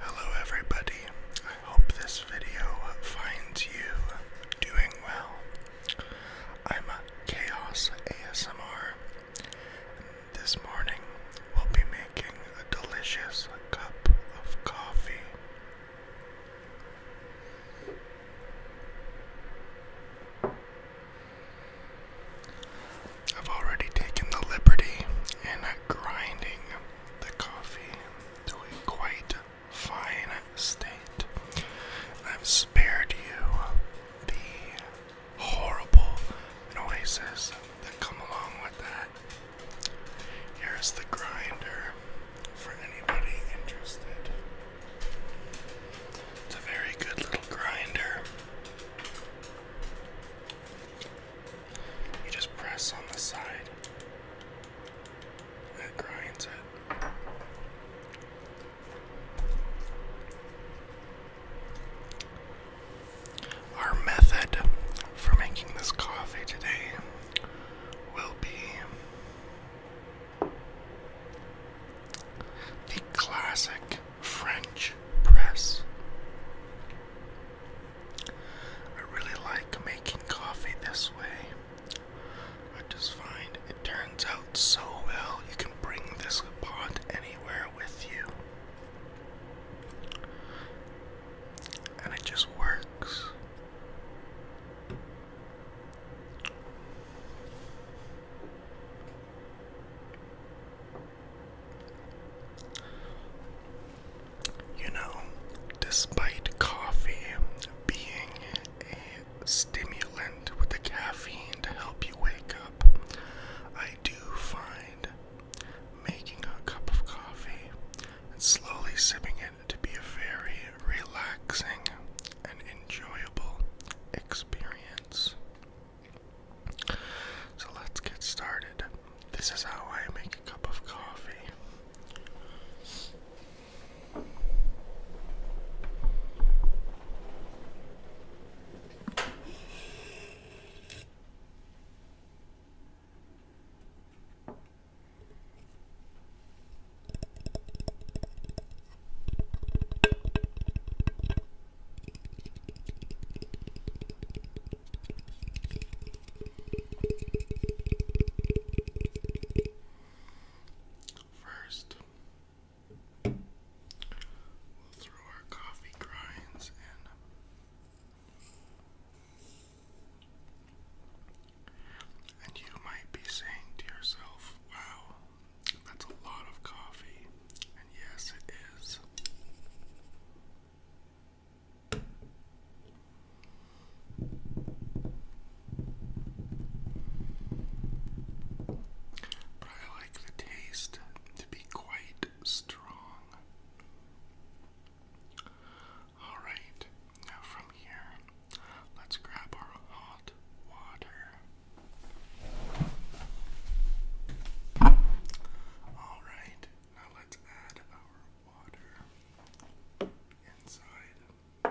Hello, everybody. I hope this video finds you doing well. I'm a Chaos ASMR. This morning will be making a delicious cup of coffee. I've already taken the liberty in grinding the coffee to a quite fine state. I've spared you the horrible noises that come along with that. Here's the grinder for anybody interested. It's a very good little grinder. You just press on the side, it grinds it. Our method for making this coffee today will be the classic French press. I really like making coffee this way. I just find it turns out so well. You can bring this pot anywhere with you and it just works. You know, despite coffee being a stimulant with the caffeine to help you wake up, I do find making a cup of coffee and slowly sipping it to be a very relaxing and enjoyable experience. So let's get started. This is how I make a cup of coffee. First, we'll throw our coffee grinds in and you might be saying to yourself, wow, that's a lot of coffee. And yes, it is. But I like the taste to be quite strong. Alright, now from here, let's grab our hot water. Alright, now let's add our water inside.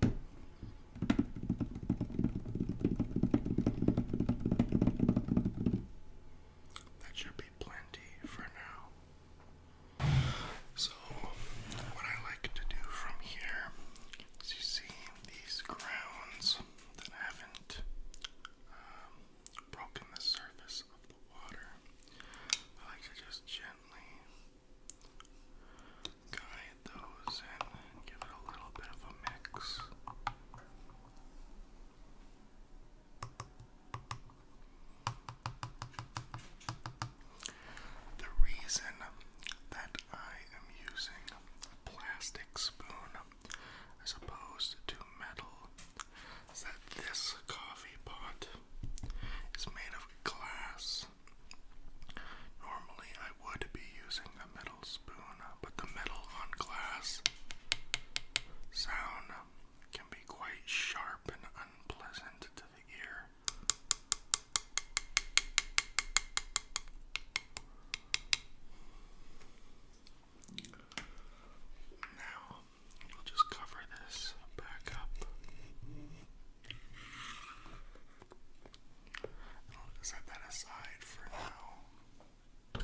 That should be plenty for now. So, what I like to do from here is you see these grounds that haven't um, broken the surface of the water. I like to just gently guide those and give it a little bit of a mix. The reason that I am using a plastic spoon as opposed to metal that this coffee pot is made of glass. Normally, I would be using a metal spoon, but the metal on glass sound can be quite sharp and unpleasant to the ear. Now, we'll just cover this back up. And set that aside for now.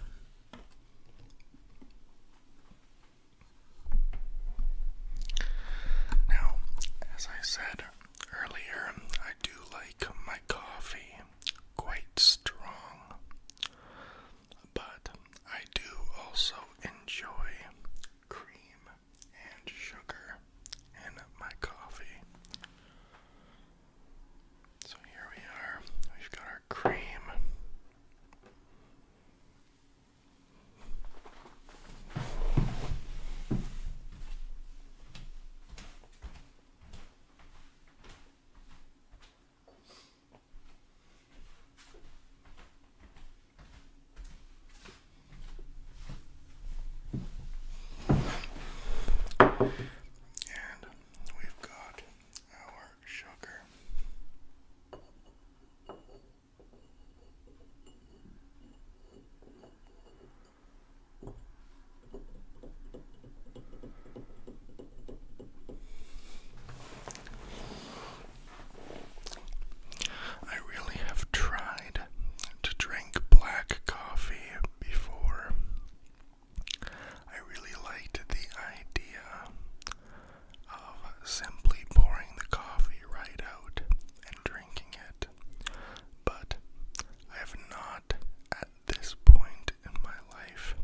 Now, as I said earlier, I do like my coffee quite strong, but I do also enjoy cream and sugar and my coffee. So here we are. We've got our cream. And we've got our sugar. I really have tried to drink black coffee before. I really liked the idea of simply pouring the coffee right out and drinking it, but I have not at this point in my life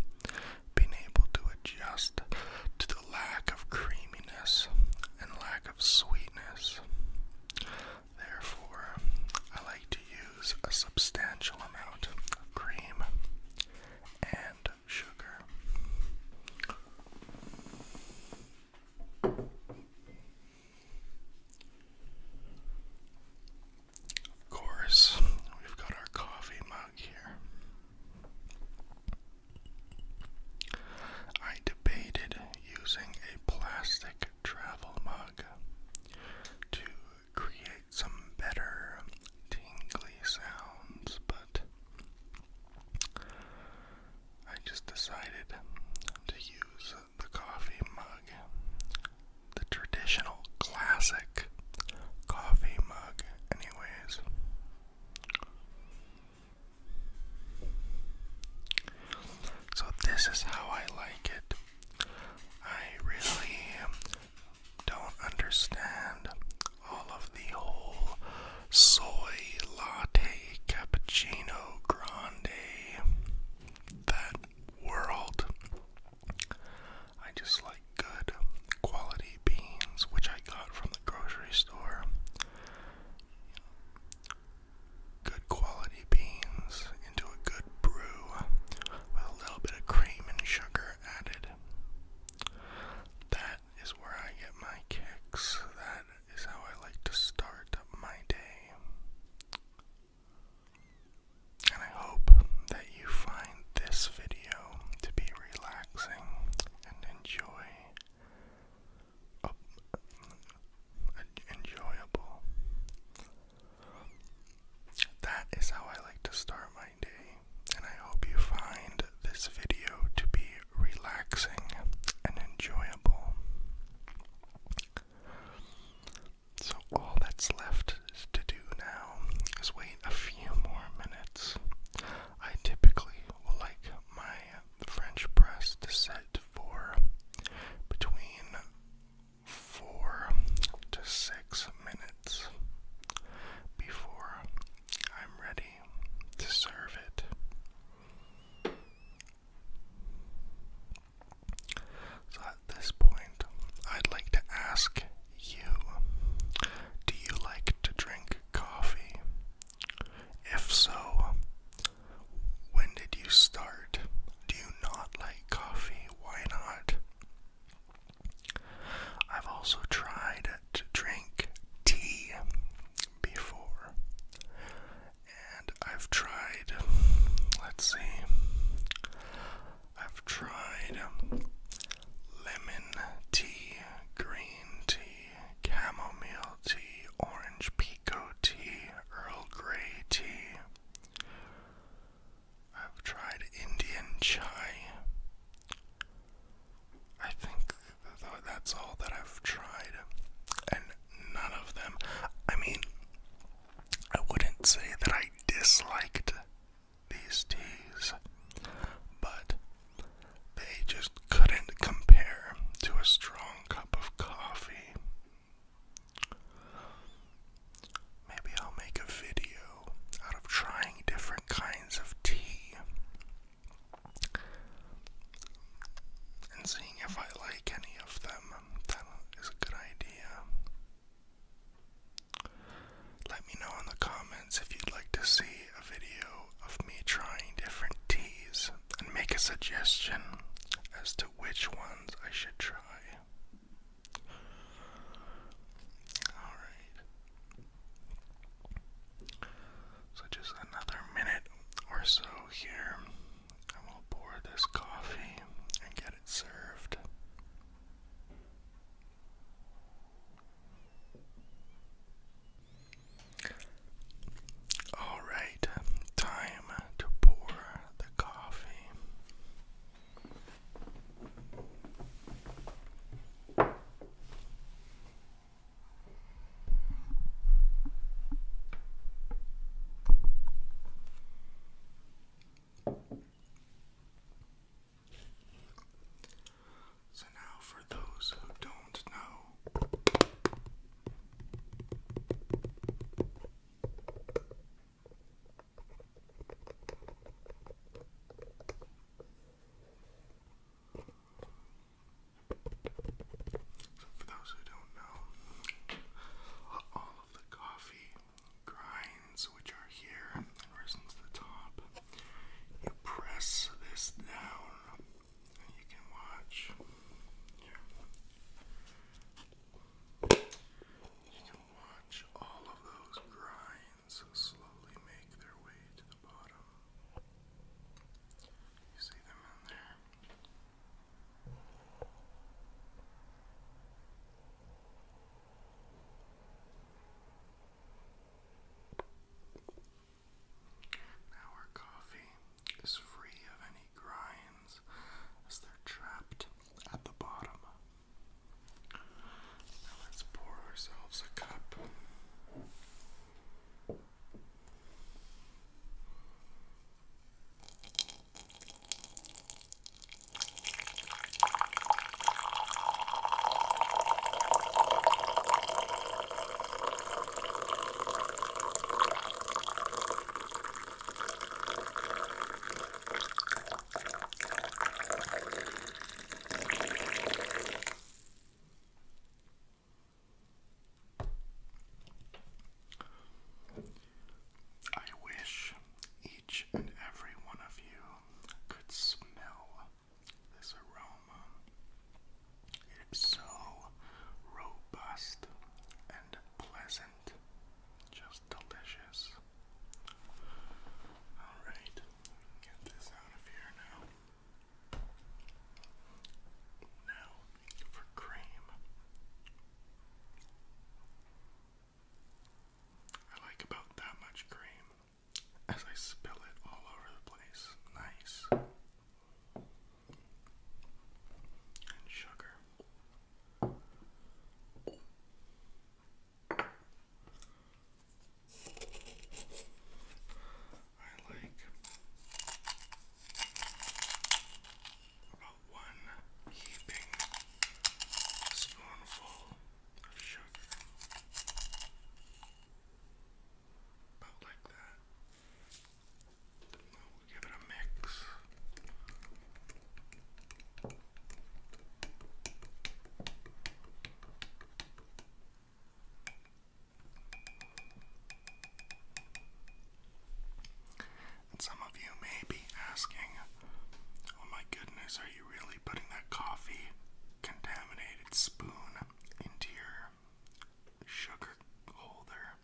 been able to adjust to the lack of creaminess and lack of sweetness. Therefore, I like to use a substantial amount of cream and sugar. Of course, we've got our coffee mug here. I debated using a plastic travel mug to create some better tingly sounds, but I just decided to use the coffee mug, the traditional classic coffee mug, anyways. So, this is how I like it. I really don't understand all of the whole soy latte cappuccino grande that world. I just like good quality beans, which I got from the grocery store good quality beans into a good brew with a little bit of cream and sugar added. That is where I get my kicks. That is how I like to start my day. And I hope that you find this video to be relaxing and enjoy Oh, enjoyable. That is how I like to start my day, and I hope you find this video to be relaxing and enjoyable. So, all that's left to do now is wait a few more minutes. I typically will like my uh, the French press to set for between four to six minutes before I'm ready to serve it. So at this point, I'd like to ask you do you like to drink coffee? If so, when did you start? Do you not like coffee? Why not? I've also tried to drink tea before. And I've tried, let's see, I've tried um, lemon tea, green tea, chamomile tea, orange peel Pico tea, Earl Grey tea. I've tried Indian chai. I think that's all that I've tried, and none of them. I mean, I wouldn't say that I disliked these teas, but they just couldn't compare to a strong cup of coffee. Maybe I'll make a video out of trying different kinds of tea and seeing if I like any of them. That is a good idea. Let me know in the comments if you'd like to see a video of me trying different teas and make a suggestion as to which ones I should try. Alright. So, just another minute or so here, and we'll pour this coffee and get it served. All right, time to pour the coffee. So, now for those who don't know so, for those who don't know, all of the coffee grinds which are here and to the top, you press this down you can watch. You can watch all of those grinds slowly make their way to the bottom. You see them in there. Our coffee is free of any grinds as they're trapped at the bottom. Now let's pour ourselves a cup. I wish each and every one of you could smell this aroma. It is so robust and pleasant, just delicious. Alright, get this out of here now. Now for cream. I like about that much cream as I spill it all over the place. Nice and sugar. I like about one heaping spoonful of sugar. About like that. And some of you may be asking, oh my goodness, are you really putting that coffee contaminated spoon into your sugar holder,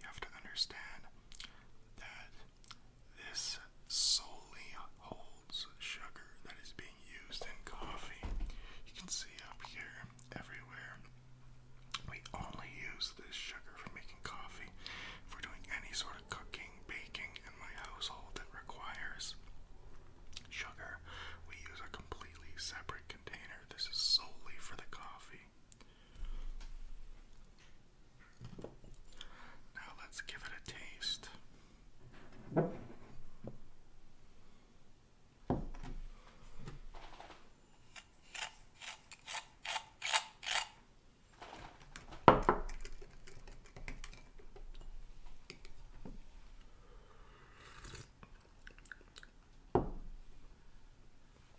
you have to understand that this solely holds sugar that is being used in coffee. You can see up here everywhere. We only use this sugar for making coffee. If we're doing any sort of cooking, baking in my household that requires sugar, we use a completely separate container. This is solely for the coffee. Now let's give it a taste.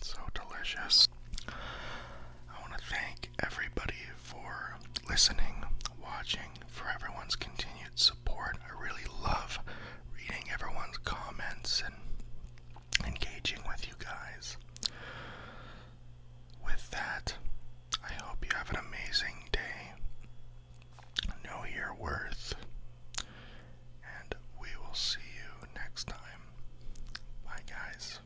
So delicious. I want to thank everybody for listening, watching, for everyone's continued support. I really love reading everyone's comments and engaging with you guys. With that, I hope you have an amazing day. Know your worth. And we will see you next time. Bye, guys.